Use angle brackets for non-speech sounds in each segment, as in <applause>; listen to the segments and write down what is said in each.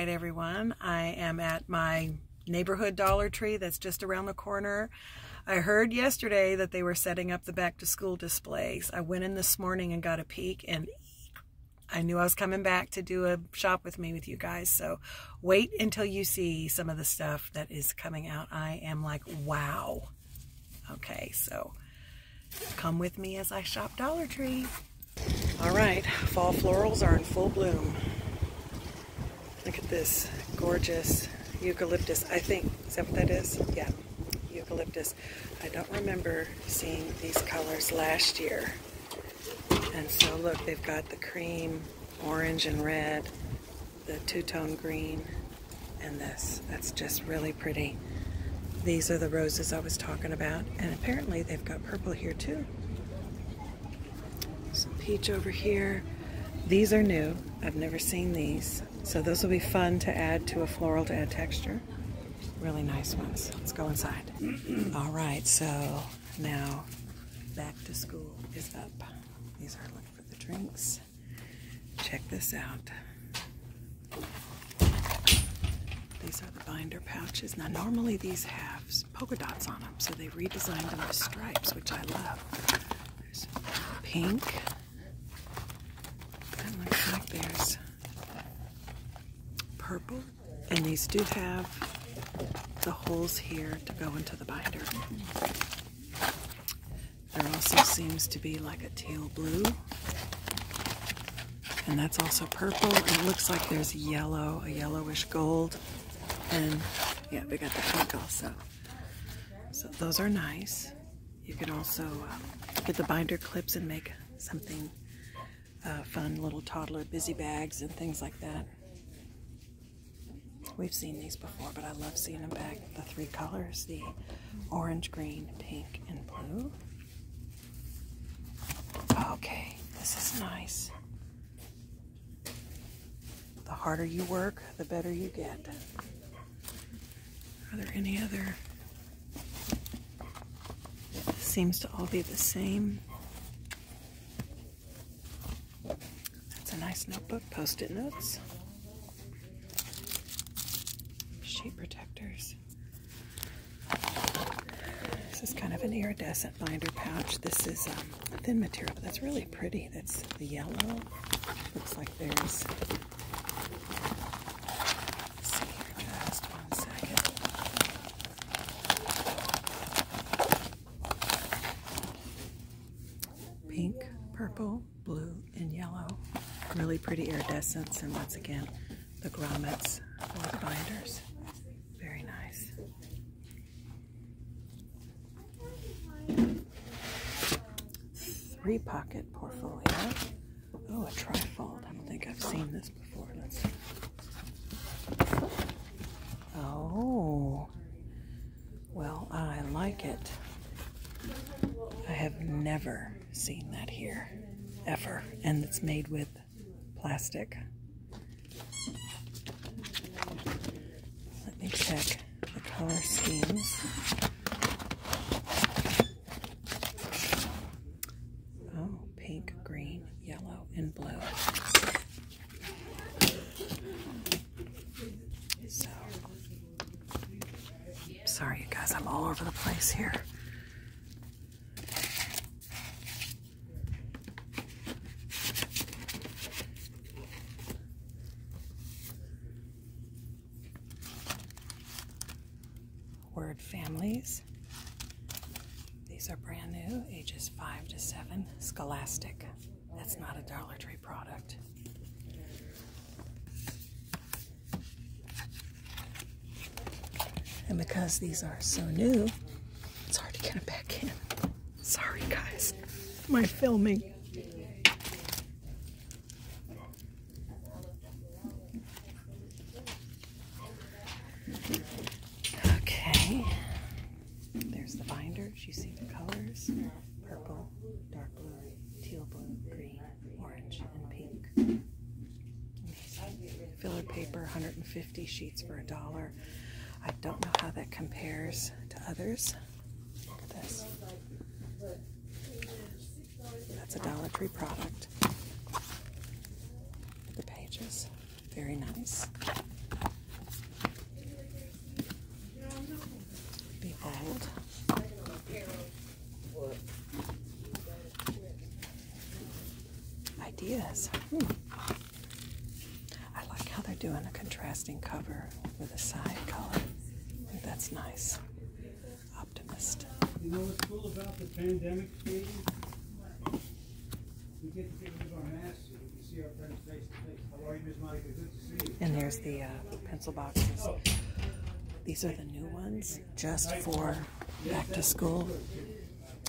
Hi everyone. I am at my neighborhood Dollar Tree that's just around the corner. I heard yesterday that they were setting up the back to school displays. I went in this morning and got a peek and I knew I was coming back to do a shop with me with you guys. So wait until you see some of the stuff that is coming out. I am like, wow. Okay, so come with me as I shop Dollar Tree. All right, fall florals are in full bloom. Look at this gorgeous eucalyptus, I think. Is that what that is? Yeah, eucalyptus. I don't remember seeing these colors last year. And so look, they've got the cream, orange and red, the two-tone green, and this. That's just really pretty. These are the roses I was talking about. And apparently they've got purple here too. Some peach over here. These are new. I've never seen these. So those will be fun to add to a floral to add texture. Really nice ones. Let's go inside. <clears throat> All right, so now back to school is up. These are looking for the drinks. Check this out. These are the binder pouches. Now normally these halves polka dots on them, so they redesigned them to stripes, which I love. There's pink. That looks there's purple, and these do have the holes here to go into the binder. There also seems to be like a teal blue and that's also purple it looks like there's yellow a yellowish gold and yeah we got the pink also so those are nice you can also uh, get the binder clips and make something uh, fun little toddler busy bags and things like that we've seen these before but I love seeing them back the three colors the orange green pink and blue Okay, this is nice. The harder you work, the better you get. Are there any other? seems to all be the same. That's a nice notebook, post-it notes. Sheet protectors. This is kind of an iridescent binder pouch. This is a um, thin material, but that's really pretty. That's the yellow. Looks like there's. Pink, purple, blue, and yellow. Really pretty iridescence, and once again, the grommets or the binders. Very nice. Three pocket portfolio. Oh, a trifold. I don't think I've seen this before. Let's Oh, well, I like it. I have never seen that here, ever. And it's made with plastic. Let me check the color schemes. Oh, pink, green, yellow, and blue. sorry you guys, I'm all over the place here. Word families. These are brand new, ages 5 to 7, Scholastic. That's not a Dollar Tree product. And because these are so new, it's hard to get it back in. Sorry, guys. My filming. Okay. There's the binders. You see the colors. Purple, dark blue, teal blue, green, orange, and pink filler paper, 150 sheets for a dollar. I don't know how that compares to others. That's a Dollar Tree product. The pages, very nice. Behold ideas. Hmm. I like how they're doing a contrasting cover with a side color. that's nice. Optimist. You know what's cool about the pandemic, We get to and see our friends face to face. How are you, Ms. Monica? Good to see you. And there's the uh, pencil boxes. Oh. These are the new ones just for back to school.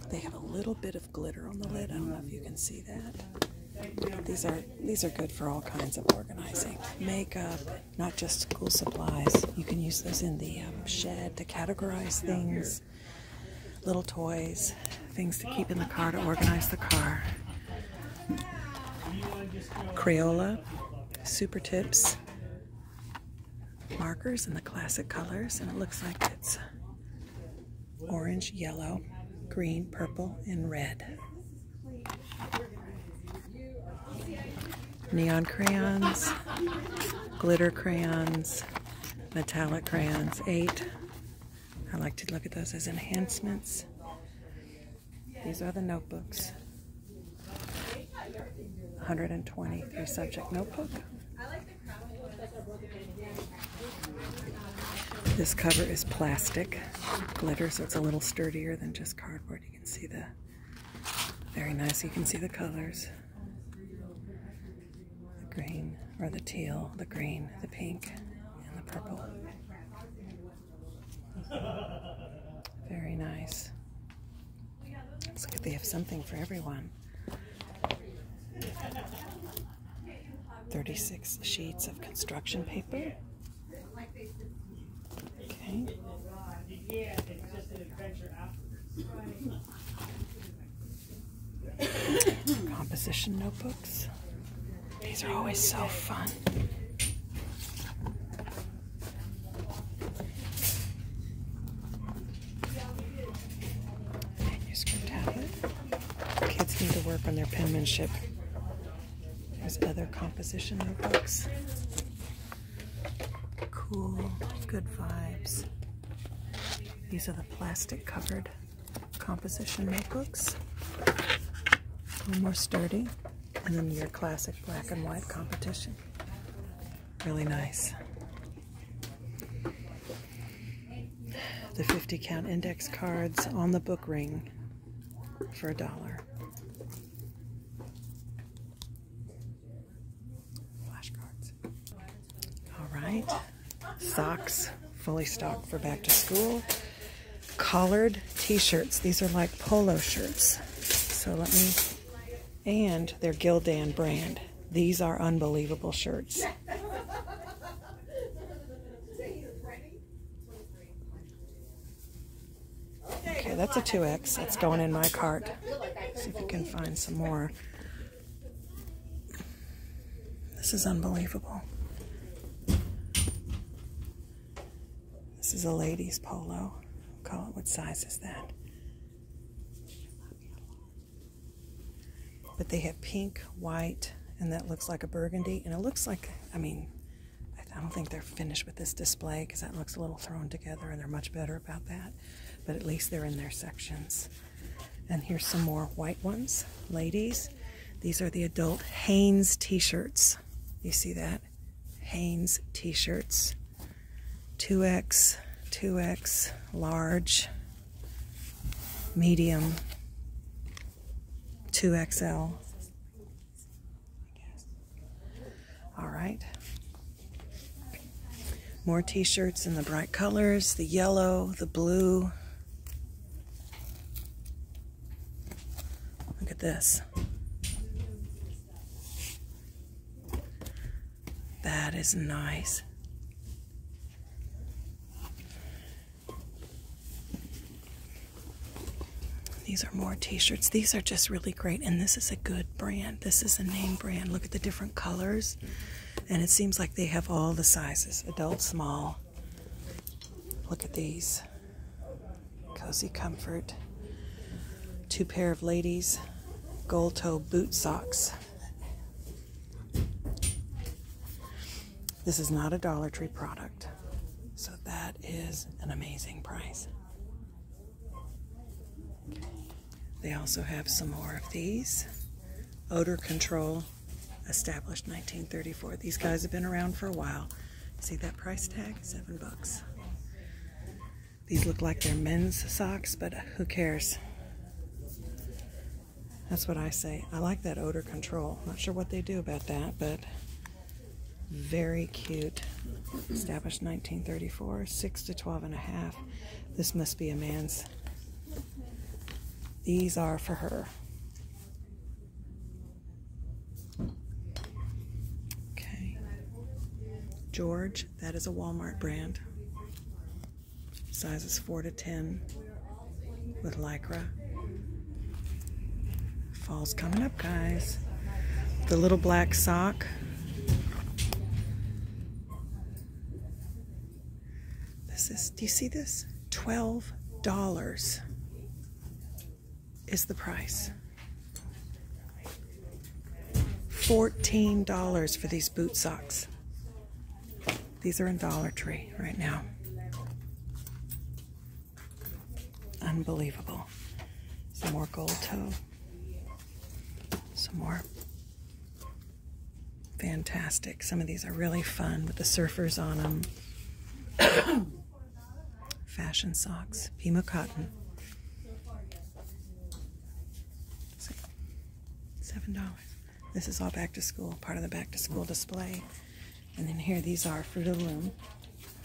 They have a little bit of glitter on the lid. I don't know if you can see that. These are these are good for all kinds of organizing. Makeup, not just school supplies. You can use those in the um, shed to categorize things. Little toys, things to keep in the car to organize the car. Crayola, super tips, markers in the classic colors, and it looks like it's orange, yellow, green, purple, and red. Neon crayons, glitter crayons, metallic crayons, eight. I like to look at those as enhancements. These are the notebooks. 123 subject notebook. This cover is plastic glitter, so it's a little sturdier than just cardboard. You can see the, very nice, you can see the colors. The green, or the teal, the green, the pink, and the purple. Very nice. Let's look they have something for everyone. 36 sheets of construction paper. Okay. Composition notebooks. These are always so fun. Manuscript tablet. Kids need to work on their penmanship. There's other composition notebooks. Cool, good vibes. These are the plastic covered composition notebooks. A little more sturdy. And then your classic black and white competition. Really nice the 50 count index cards on the book ring for a dollar. Flashcards. All right. Socks, fully stocked for back to school. Collared t-shirts. These are like polo shirts. So let me and their Gildan brand. These are unbelievable shirts. Okay, that's a 2X. That's going in my cart. See if we can find some more. This is unbelievable. This is a ladies polo. call it, what size is that? But they have pink, white, and that looks like a burgundy. And it looks like, I mean, I don't think they're finished with this display because that looks a little thrown together and they're much better about that. But at least they're in their sections. And here's some more white ones. Ladies, these are the adult Hanes t-shirts. You see that? Hanes t-shirts. 2x, 2x, large, medium, 2XL. All right. More t-shirts in the bright colors, the yellow, the blue. Look at this. That is nice. These are more t-shirts. These are just really great and this is a good brand. This is a name brand. Look at the different colors. And it seems like they have all the sizes. Adult, small. Look at these. Cozy Comfort. Two pair of ladies gold toe boot socks. This is not a Dollar Tree product, so that is an amazing price. They also have some more of these. Odor Control, established 1934. These guys have been around for a while. See that price tag? Seven bucks. These look like they're men's socks, but who cares? That's what I say. I like that odor control. Not sure what they do about that, but very cute. Established 1934, 6 to 12 and a half. This must be a man's. These are for her. Okay. George that is a Walmart brand. Sizes 4 to 10 with Lycra. Fall's coming up, guys. The little black sock. This is, do you see this? $12 is the price. $14 for these boot socks. These are in Dollar Tree right now. Unbelievable. Some more gold toe. Some more. Fantastic. Some of these are really fun with the surfers on them. <coughs> Fashion socks. Pima cotton. Seven dollars. This is all back to school, part of the back to school display. And then here these are Fruit of the Loom,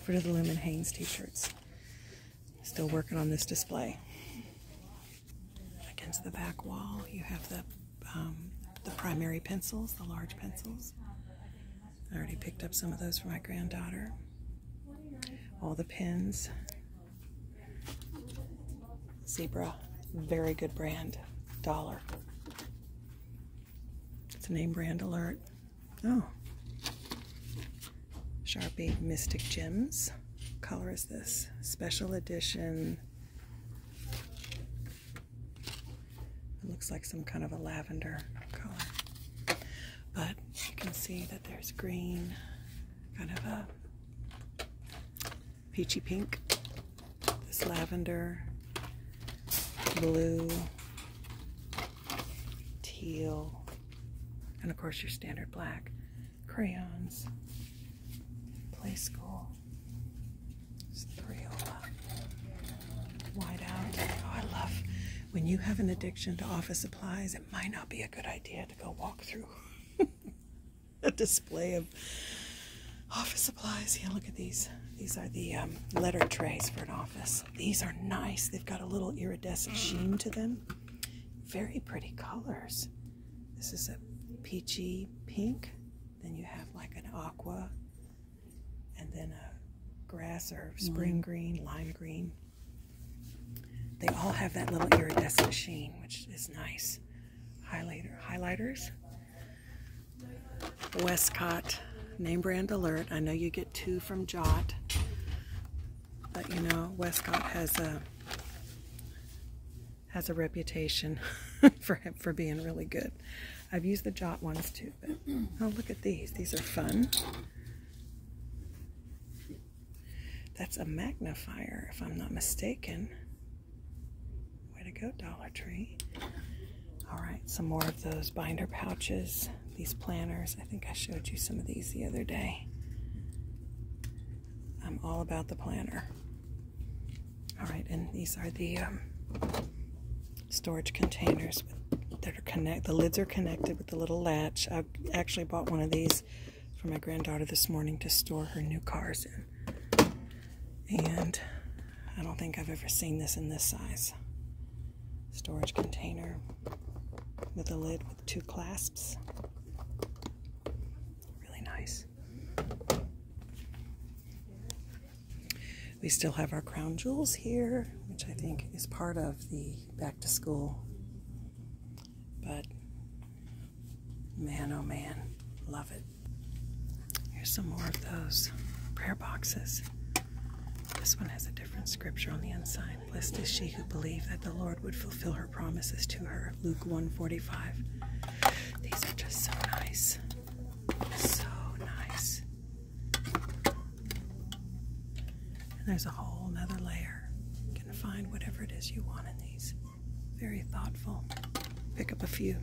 Fruit of the Loom and Hanes t-shirts. Still working on this display. Against the back wall, you have the um, the primary pencils, the large pencils. I already picked up some of those for my granddaughter. All the pins. Zebra, very good brand, dollar. It's a name brand alert. Oh. Sharpie Mystic Gems. color is this? Special edition. It looks like some kind of a lavender color but you can see that there's green, kind of a peachy pink, this lavender, blue, teal, and of course your standard black crayons, play school, Crayola, white out. Oh, I love when you have an addiction to office supplies it might not be a good idea to go walk through <laughs> a display of office supplies. Yeah, look at these. These are the um, letter trays for an office. These are nice. They've got a little iridescent mm. sheen to them. Very pretty colors. This is a peachy pink. Then you have like an aqua and then a grass or spring mm. green, lime green. They all have that little iridescent sheen, which is nice. Highlighter, highlighters. Westcott, name brand alert. I know you get two from Jot, but you know Westcott has a has a reputation <laughs> for for being really good. I've used the Jot ones too. oh, look at these. These are fun. That's a magnifier, if I'm not mistaken. Way to go, Dollar Tree. All right, some more of those binder pouches, these planners. I think I showed you some of these the other day. I'm all about the planner. All right, and these are the um, storage containers with that are connect. The lids are connected with a little latch. I actually bought one of these for my granddaughter this morning to store her new cars in. And I don't think I've ever seen this in this size. Storage container with a lid with two clasps. Really nice. We still have our crown jewels here, which I think is part of the back to school. But man, oh man, love it. Here's some more of those prayer boxes. This one has a different scripture on the inside. Blessed is she who believed that the Lord would fulfill her promises to her. Luke 1:45. These are just so nice. So nice. And there's a whole nother layer. You can find whatever it is you want in these. Very thoughtful. Pick up a few.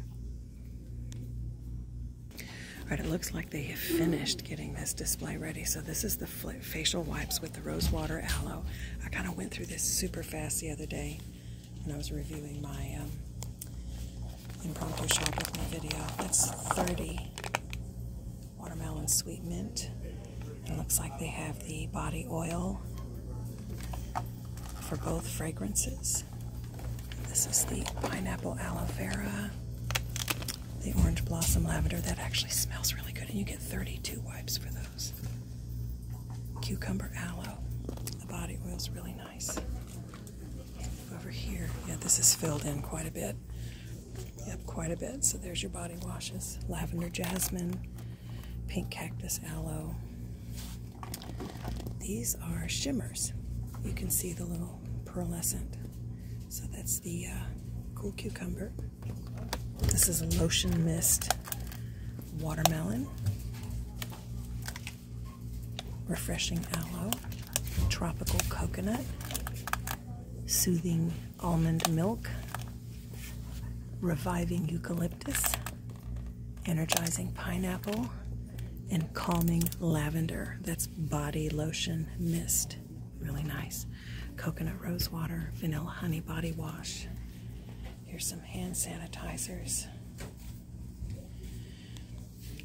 All right, it looks like they have finished getting this display ready. So this is the facial wipes with the rosewater aloe. I kind of went through this super fast the other day when I was reviewing my um, impromptu shop with my video. That's 30 watermelon sweet mint. It looks like they have the body oil for both fragrances. This is the pineapple aloe vera, the orange blossom lavender. That actually smells really good, and you get 32 wipes for those. Cucumber aloe. The body oil is really nice. Over here, yeah, this is filled in quite a bit. Yep, quite a bit. So there's your body washes lavender jasmine, pink cactus aloe. These are shimmers. You can see the little pearlescent. So that's the uh, cool cucumber. This is a lotion mist watermelon, refreshing aloe, tropical coconut, Soothing almond milk, reviving eucalyptus, energizing pineapple, and calming lavender. That's body lotion mist. Really nice. Coconut rose water, vanilla honey body wash. Here's some hand sanitizers.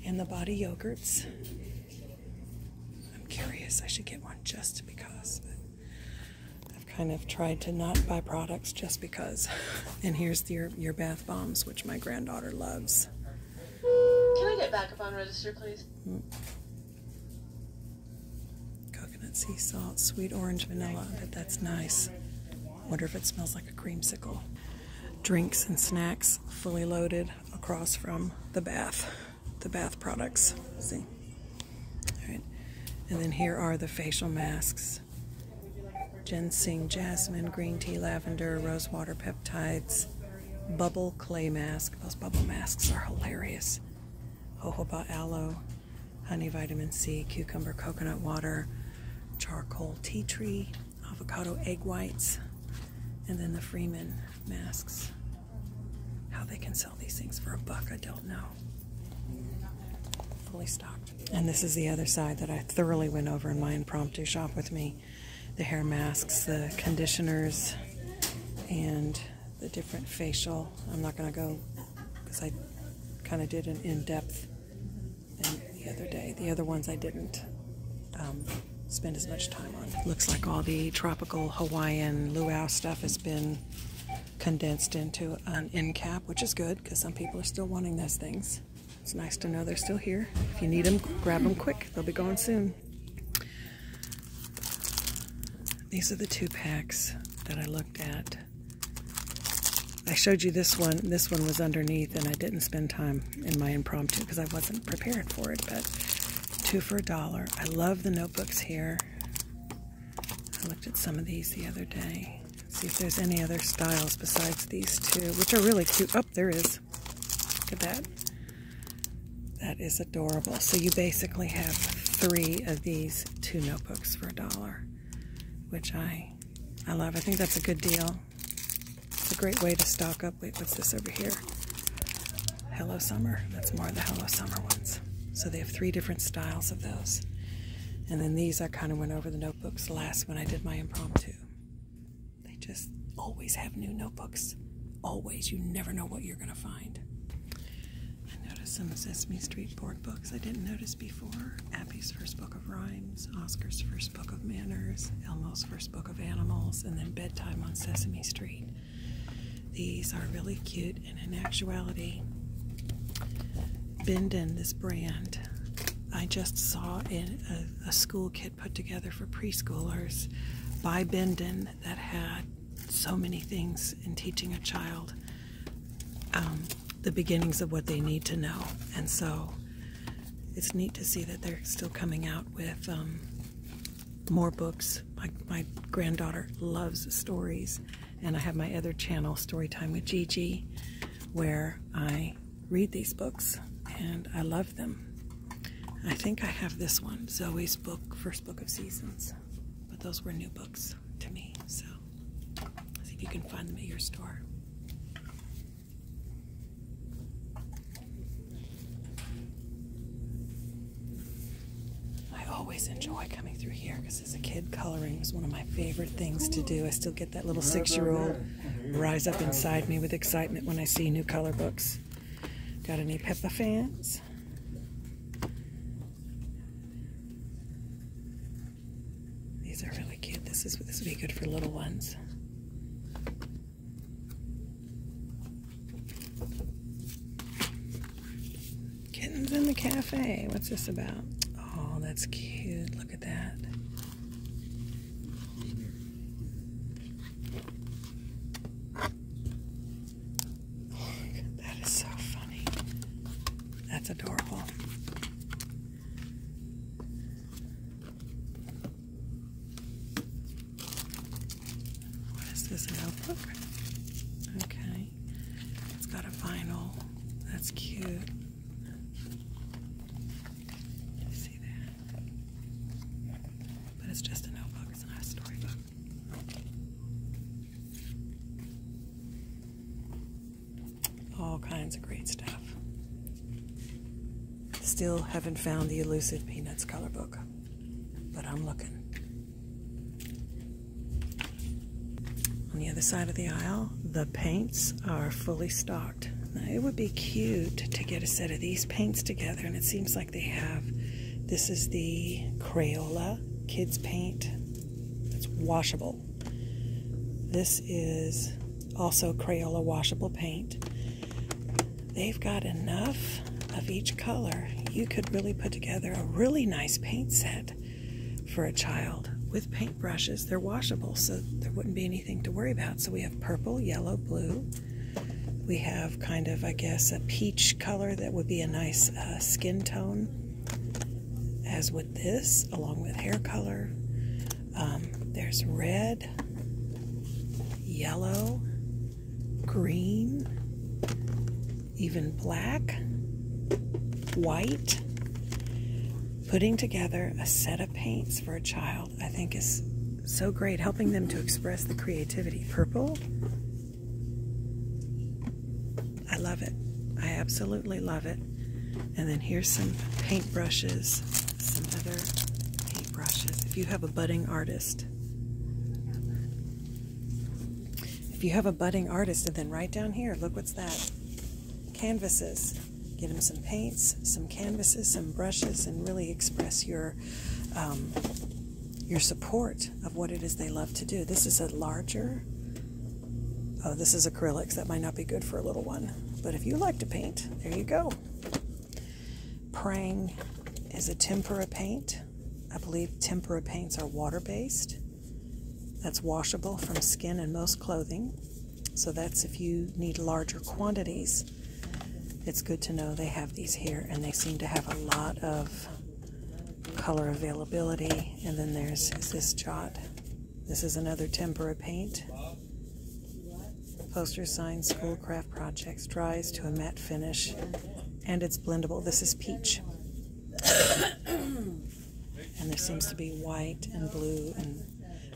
And the body yogurts. I'm curious. I should get one just because. I've kind of tried to not buy products just because. And here's your your bath bombs, which my granddaughter loves. Can I get back up on register, please? Mm. Coconut sea salt, sweet orange vanilla. But that's nice. Wonder if it smells like a creamsicle. Drinks and snacks fully loaded across from the bath the bath products. See? And then here are the facial masks. Ginseng, jasmine, green tea, lavender, rosewater peptides, bubble clay mask. Those bubble masks are hilarious. Jojoba aloe, honey vitamin C, cucumber coconut water, charcoal tea tree, avocado egg whites, and then the Freeman masks. How they can sell these things for a buck, I don't know. Fully stocked. And this is the other side that I thoroughly went over in my impromptu shop with me. The hair masks, the conditioners, and the different facial. I'm not going to go because I kind of did an in-depth the other day. The other ones I didn't. Um, spend as much time on. Looks like all the tropical Hawaiian luau stuff has been condensed into an end cap, which is good because some people are still wanting those things. It's nice to know they're still here. If you need them, grab them quick. They'll be gone soon. These are the two packs that I looked at. I showed you this one. This one was underneath, and I didn't spend time in my impromptu because I wasn't prepared for it. But two for a dollar. I love the notebooks here. I looked at some of these the other day. see if there's any other styles besides these two, which are really cute. Oh, there is. Look at that. That is adorable. So you basically have three of these two notebooks for a dollar, which I, I love. I think that's a good deal. It's a great way to stock up Wait, what's this over here? Hello Summer. That's more the Hello Summer ones. So they have three different styles of those. And then these I kind of went over the notebooks last when I did my impromptu. They just always have new notebooks. Always. You never know what you're going to find. I noticed some Sesame Street board books I didn't notice before. Abby's first book of rhymes, Oscar's first book of manners, Elmo's first book of animals, and then Bedtime on Sesame Street. These are really cute, and in actuality, Benden, this brand, I just saw in a, school kit put together for preschoolers by Benden that had so many things in teaching a child um, the beginnings of what they need to know. And so it's neat to see that they're still coming out with um, more books. My, granddaughter loves stories, and I have my other channel, Storytime with Gigi, where I read these books, and I love them. I think I have this one, Zoe's book, first book of seasons, but those were new books to me, so if you can find them at your store. I always enjoy coming through here because as a kid, coloring was one of my favorite things to do. I still get that little six year old rise up inside me with excitement when I see new color books. Got any Peppa fans? These are really cute. This is this would be good for little ones. Kittens in the cafe. What's this about? Oh, that's cute. Look at that. that is so funny. That's adorable. What is this, notebook? Okay. It's got a vinyl. That's cute. see that? But it's just a notebook. It's not a storybook. All kinds of great stuff. Still haven't found the elusive Peanuts color book, but I'm looking. On the other side of the aisle, the paints are fully stocked. Now, it would be cute to get a set of these paints together, and it seems like they have. This is the Crayola kids paint. It's washable. This is also Crayola washable paint they've got enough of each color. You could really put together a really nice paint set for a child with paint brushes. They're washable, so there wouldn't be anything to worry about. So we have purple, yellow, blue. We have kind of, I guess, a peach color that would be a nice uh, skin tone, as with this, along with hair color. Um, there's red, yellow, green, even black, white. Putting together a set of paints for a child, I think, is so great, helping them to express the creativity. Purple, I love it. I absolutely love it. And then here's some paint brushes, some other paint brushes. If you have a budding artist, if you have a budding artist, and then right down here, look what's that canvases. Get them some paints, some canvases, some brushes, and really express your. Um, your support of what it is they love to do. This is a larger, oh, this is acrylics. That might not be good for a little one. But if you like to paint, there you go. Prang is a tempera paint. I believe tempera paints are water based. That's washable from skin and most clothing. So that's if you need larger quantities. It's good to know they have these here and they seem to have a lot of color availability. And then there's this jot. This is another tempera paint. Poster signs, school craft projects, dries to a matte finish, and it's blendable. This is peach. and there seems to be white and blue, and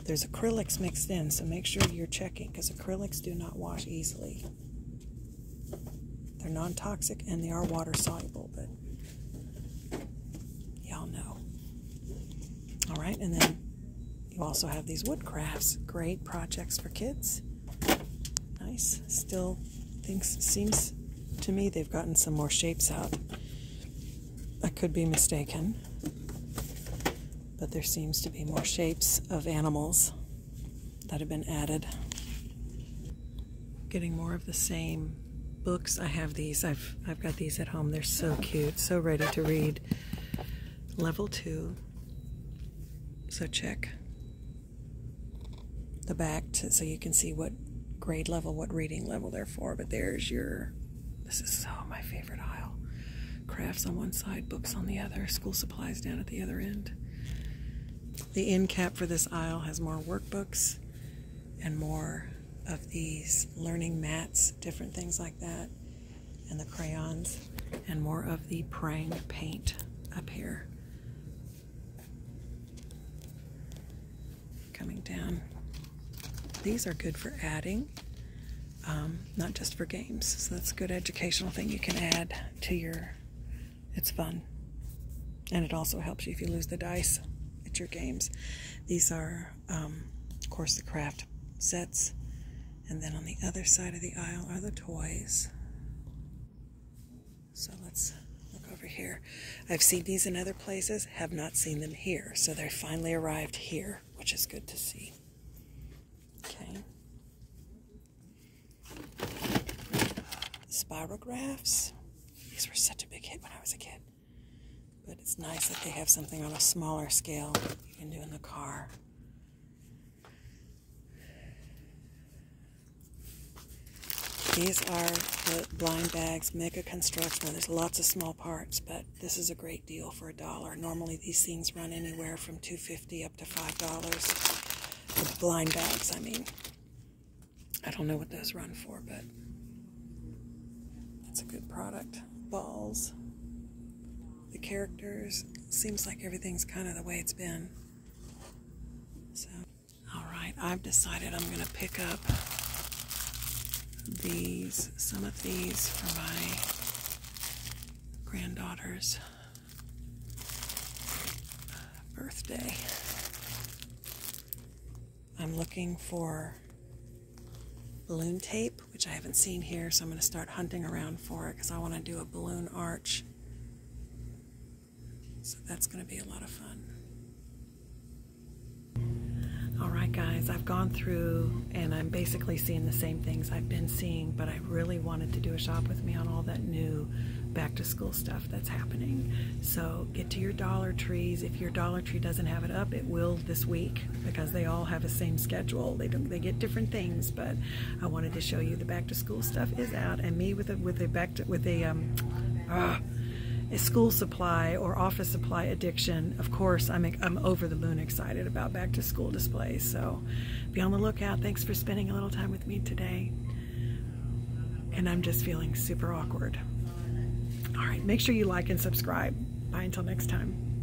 there's acrylics mixed in, so make sure you're checking because acrylics do not wash easily. They're non toxic and they are water soluble, but y'all know. All right, and then you also have these wood crafts, great projects for kids. Nice. Still things seems to me they've gotten some more shapes out. I could be mistaken, but there seems to be more shapes of animals that have been added. Getting more of the same books. I have these. I've I've got these at home. They're so cute, so ready to read level two. So check the back so you can see what grade level, what reading level they're for. But there's your, this is so my favorite aisle. Crafts on one side, books on the other, school supplies down at the other end. The end cap for this aisle has more workbooks and more of these learning mats, different things like that and the crayons and more of the prang paint up here coming down these are good for adding um, not just for games so that's a good educational thing you can add to your it's fun and it also helps you if you lose the dice at your games these are um, of course the craft sets and then on the other side of the aisle are the toys. So let's look over here. I've seen these in other places, have not seen them here. So they finally arrived here, which is good to see. Okay. Spirographs. These were such a big hit when I was a kid. But it's nice that they have something on a smaller scale you can do in the car. These are the blind bags, mega construction. There's lots of small parts, but this is a great deal for a dollar. Normally these things run anywhere from two fifty up to $5. The blind bags, I mean. I don't know what those run for, but that's a good product. Balls the characters. Seems like everything's kind of the way it's been. So, all right, I've decided I'm going to pick up these, some of these for my granddaughter's uh, birthday. I'm looking for balloon tape which I haven't seen here, so I'm going to start hunting around for it because I want to do a balloon arch. So that's going to be a lot of fun. All right, guys, I've gone through and I'm basically seeing the same things I've been seeing, but I really wanted to do a shop with me on all that new back to school stuff that's happening. So get to your Dollar Trees. If your Dollar Tree doesn't have it up, it will this week because they all have the same schedule. They they get different things, but I wanted to show you the back to school stuff is out, and me with a with a back to, with a um, ah, a school supply or office supply addiction. Of course, I'm I'm over the moon excited about back to school displays. So be on the lookout. Thanks for spending a little time with me today. And I'm just feeling super awkward. All right, make sure you like and subscribe. Bye until next time.